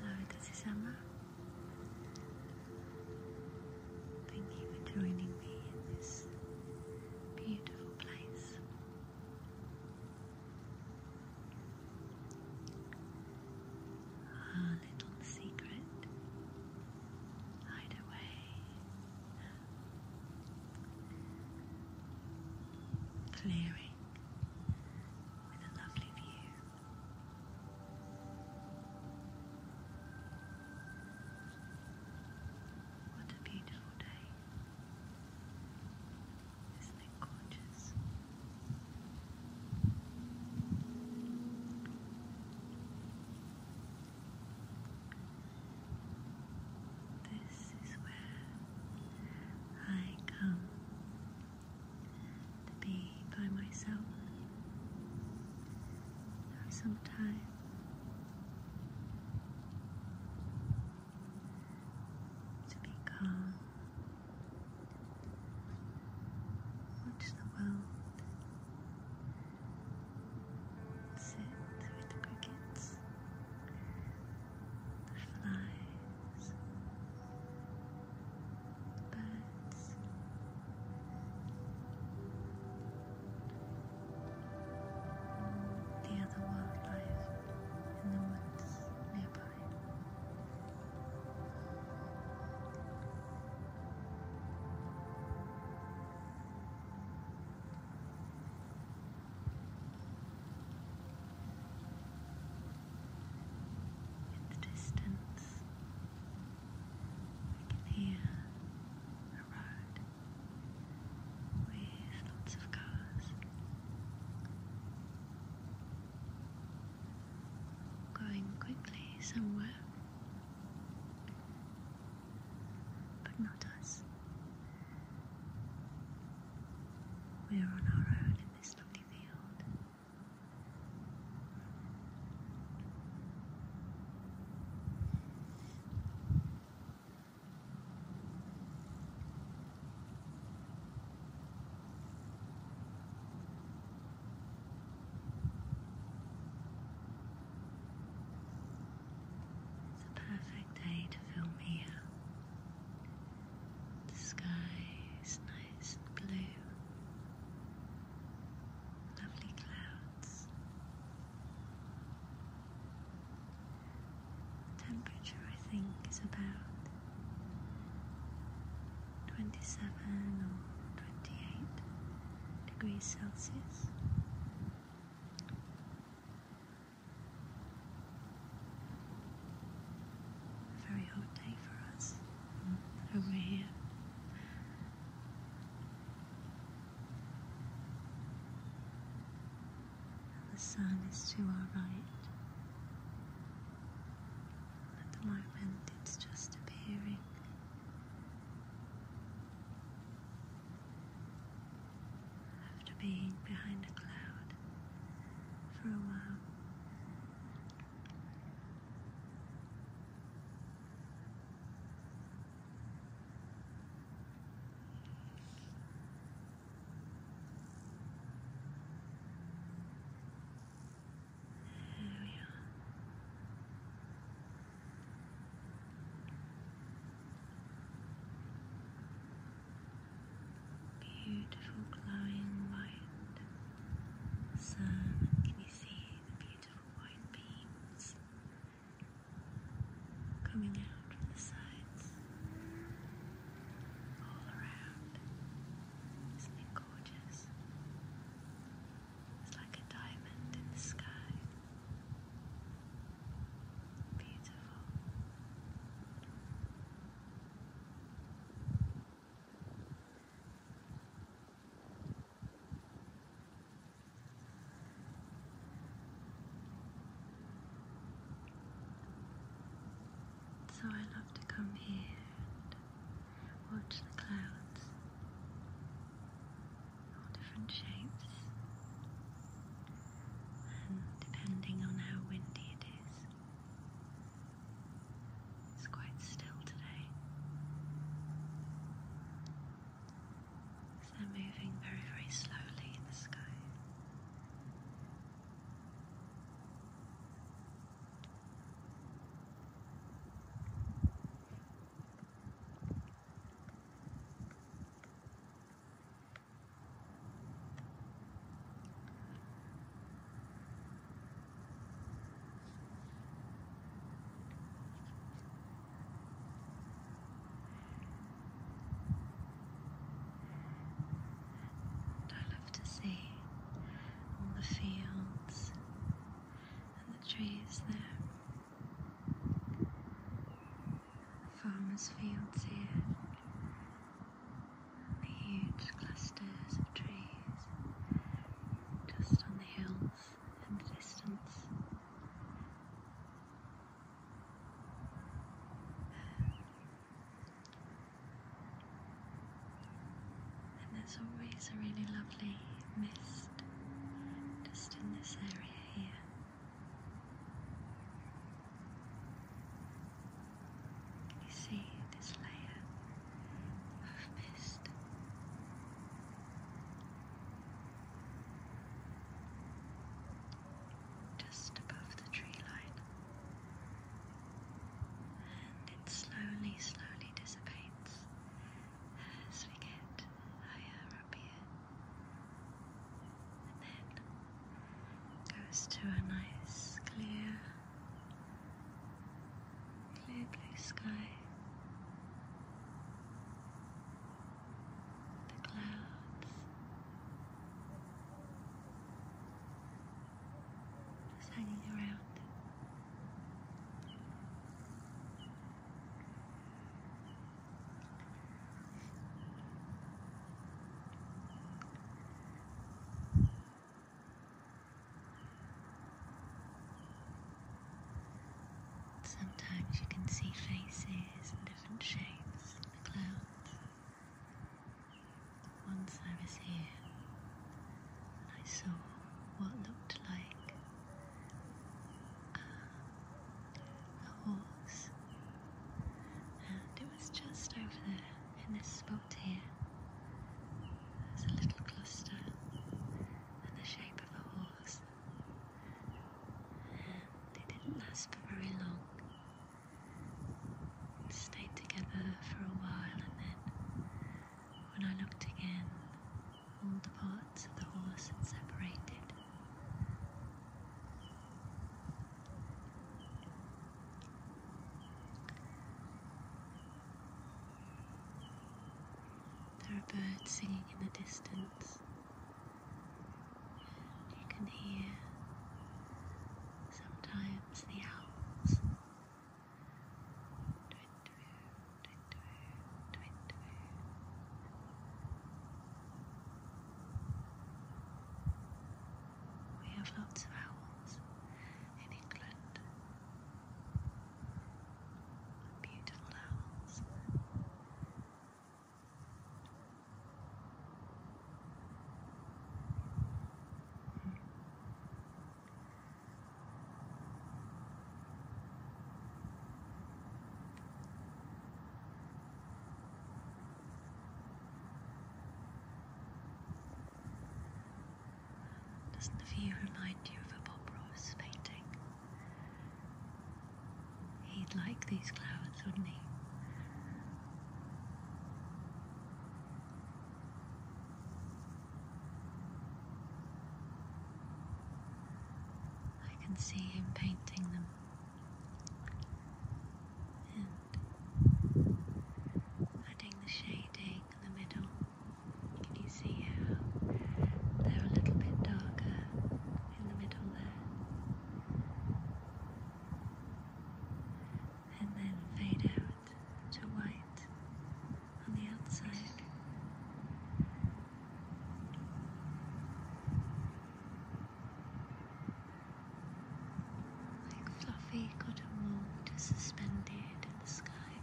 Hello, this is Emma. Thank you for joining me in this beautiful place. Our little secret hideaway clearing with a lovely view. What a beautiful day. Isn't it gorgeous? This is where I come to be by myself. Have some time. To be calm, watch the world sit with the crickets, flies, birds. The other wildlife in the woods nearby. In the distance, we can hear a road with lots of cars. Going quickly somewhere but not us. We are on our own in this lovely field. It's a perfect day to film here. The sky is nice and blue. Lovely clouds. temperature, I think, is about 27 or 28 degrees Celsius. A very hot day for us mm, over here. And the sun is to our right. At the moment, it's just appearing after being behind a cloud for a while. There we are. Beautiful glowing white sun. Can you see the beautiful white beams coming out from the sides all around? Isn't it gorgeous? It's like a diamond in the sky. So I love to come here and watch the clouds, all different shapes, and depending on how windy it is. It's quite still today. they're moving very, very slowly in the sky. I love to see all the fields and the trees there farmers' fields here. The huge clusters of trees just on the hills in the distance. And there's always a really lovely mist just in this area here. You see this layer of mist. Just above the tree line, and it slowly, slowly dissipates as we get higher up here and then goes to a nice clear, clear blue sky. The clouds just hanging around. Sometimes you can see faces and different shapes in the clouds. Once I was here and I saw what looked like a horse. And it was just over there, in this spot here. There's a little cluster in the shape of a horse. They didn't last for very long. It stayed together for a while and then when I looked again, all the parts of the horse had separated. There are birds singing in the distance. you can hear sometimes the owls. We have lots of owls in England. Beautiful owls. Doesn't the view remind you of a Bob Ross painting? He'd like these clouds, wouldn't he? I can see him painting them adding the shading in the middle. Can you see how they're a little bit darker in the middle there? And then fade out to white on the outside like fluffy cotton wool suspended in the sky.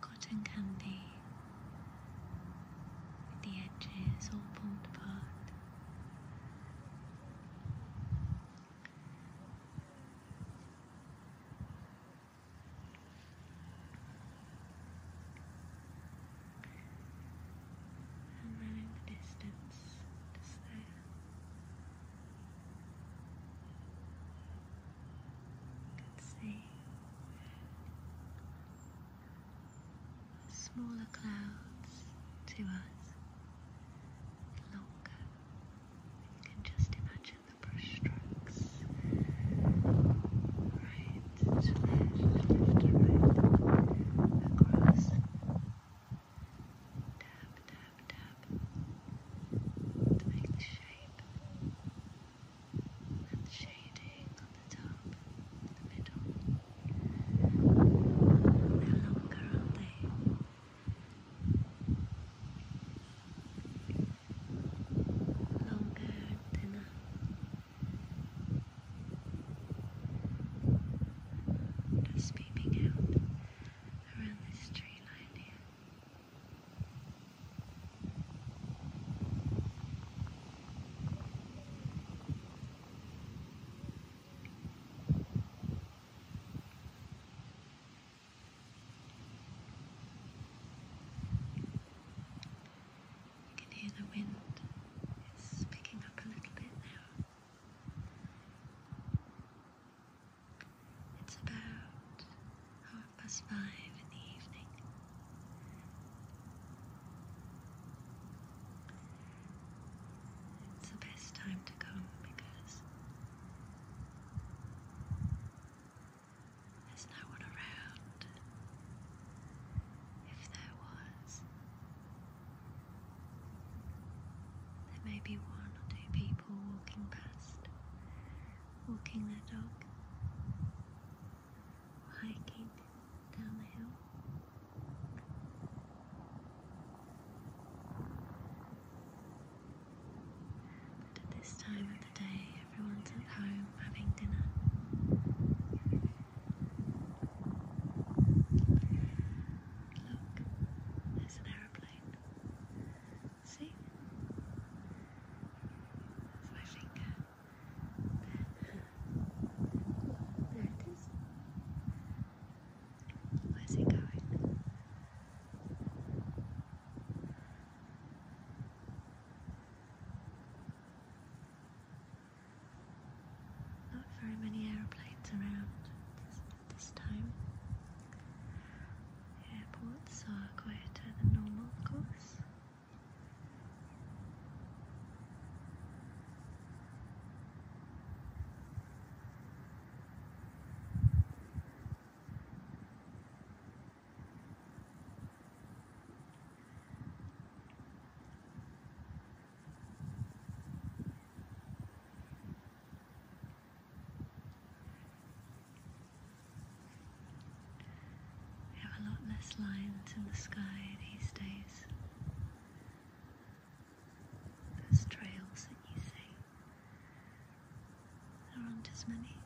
Cotton candy with the edges all pulled apart. And running the distance just there. see smaller clouds to us. Longer. You can just imagine the brush Yes. Right. left, left to right. Tap, tap, tap. To make the shape. And the shading on the top, the middle. They're are they? Longer and thinner. Just peeping out around this tree line here. You can hear the wind It's picking up a little bit now. It's about half past five in the evening. It's the best time to come because there's no one around. If there was, there may be one or two people walking past, walking their dog, hiking down the hill. But at this time of the day, everyone's at home having dinner. Look, there's an aeroplane. See? That's my finger. There it is. Where's it going? Not very many aeroplanes around this, time. Airports are quieter than normal, of course. We have a lot less lines in the sky these days. Those trails that you see, there aren't as many.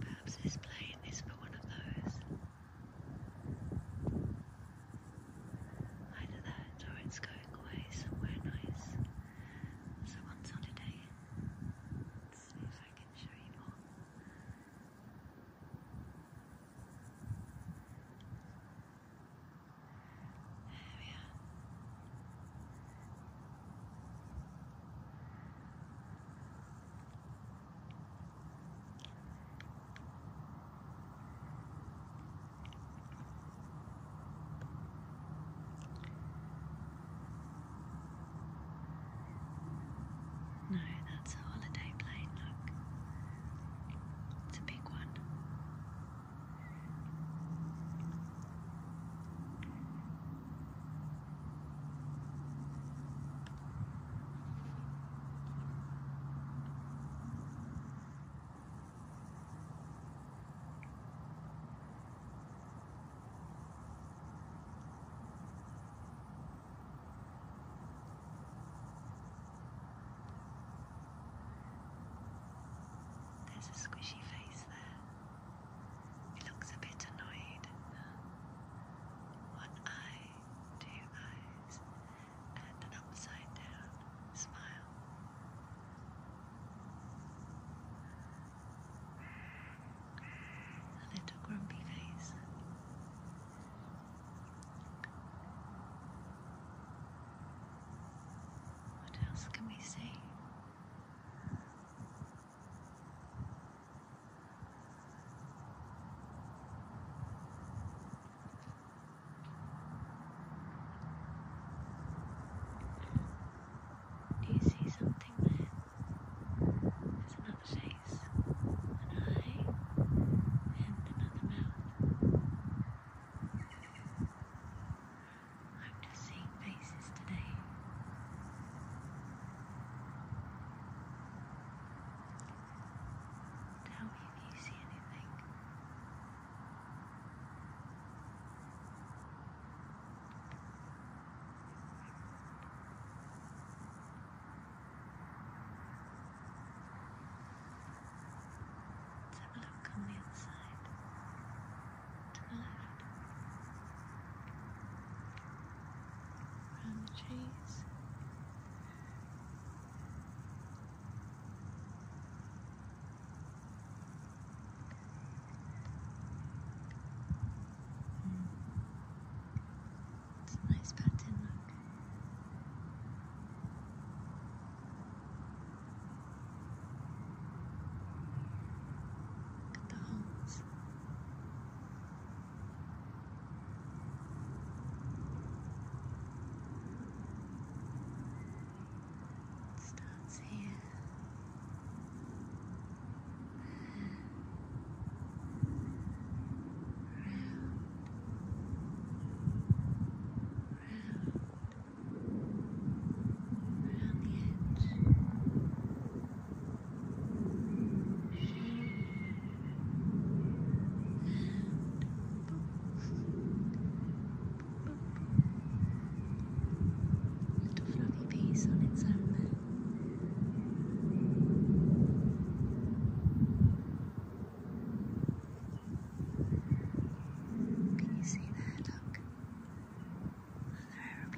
Perhaps this plane is for one of those. Either that or it's going away somewhere nice. Someone's holiday. Let's see if I can show you more. There we are. No, that's a holiday plane, look. It's a big one. There's a squishy face there. He looks a bit annoyed. One eye, two eyes, and an upside down smile. A little grumpy face. What else can we see? Do you see something there? There's another face, an eye, and another mouth. I'm just seeing faces today. Tell me if you see anything. have a look on the inside to the left, around the trees. It's a nice pattern, look. at the holes starts here. Round, round, round the edge. Little fluffy piece on its own Can you see that, dog? was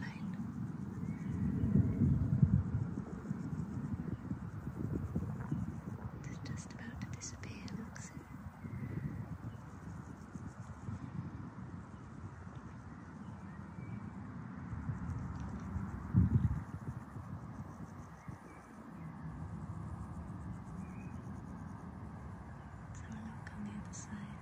their just about to disappear, looks it. Someone look on the other side.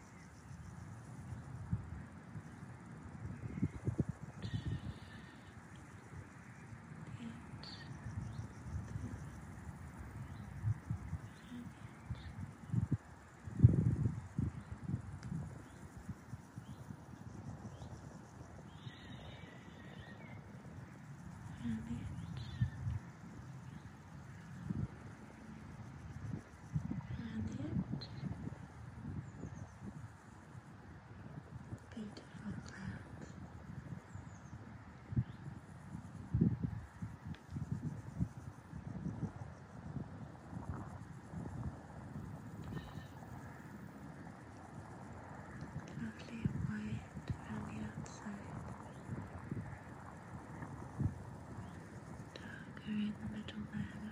Brilliant planet. Beautiful clouds. Lovely white around the outside. Darker in the middle there.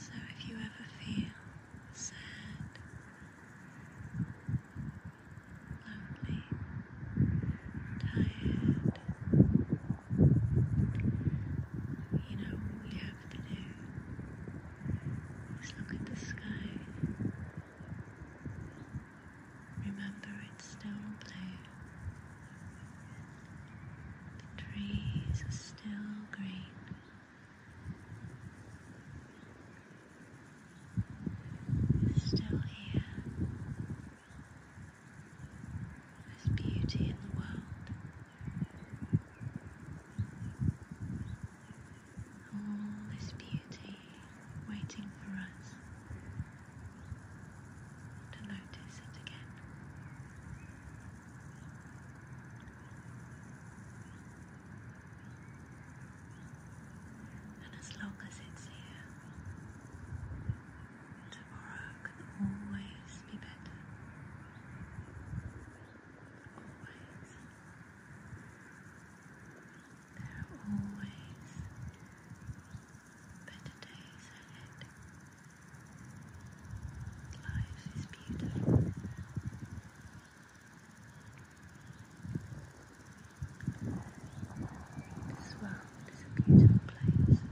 So if you ever feel sad, lonely, tired, you know, we have to do is look at the sky. Remember it's still blue. The trees are still green. we still here. There's beauty in the world. All this beauty waiting for us to notice it again. And as long as it's here, tomorrow can always be better always, there are always better days ahead. Life is beautiful. This world is a beautiful place.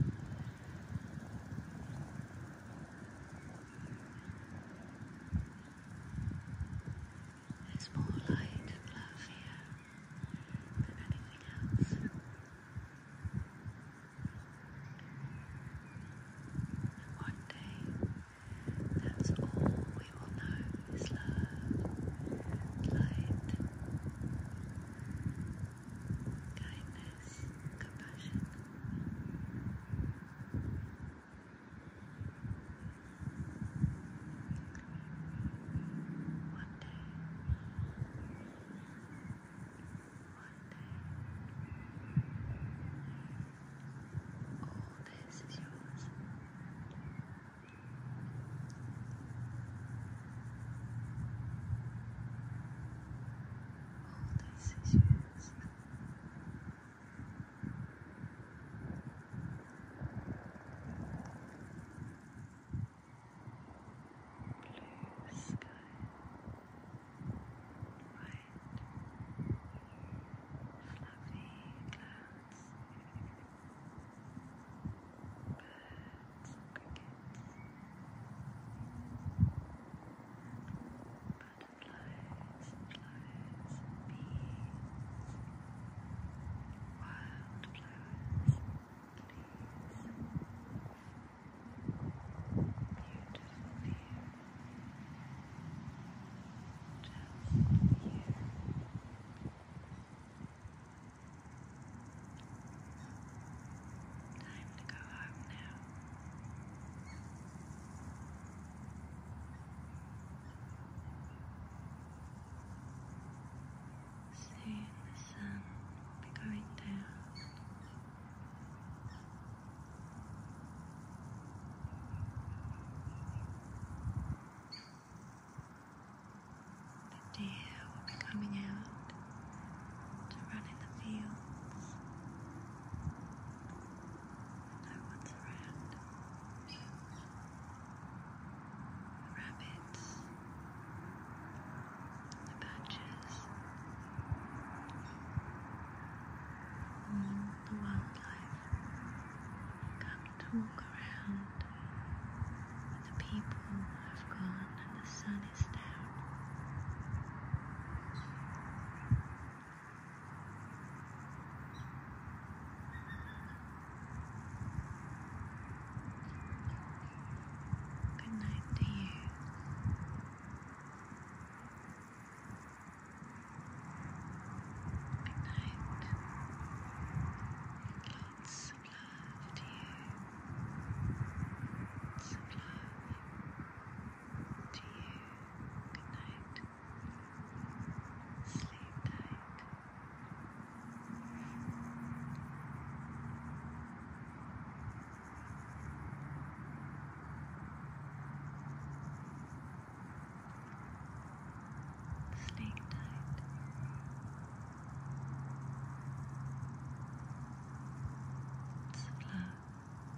There's more light and love here than anything else. And one day, that's all we will know is love, light, kindness grace, compassion. One day, one day, All this is yours. All this is yours Blue sky, white, fluffy clouds, birds, crickets, butterflies, bees, wildflowers, please. Beautiful view. Just you. Time to go home now. Soon the sun be going down. The deer will be coming out to run in the fields. That one's a rabbits. The patches. the wildlife come walk around. the people have gone and the sun is down. Good night to you. Good night. Lots of love to you. Lots of love to you. Good night. Sleep tight. Sleep tight. Slow.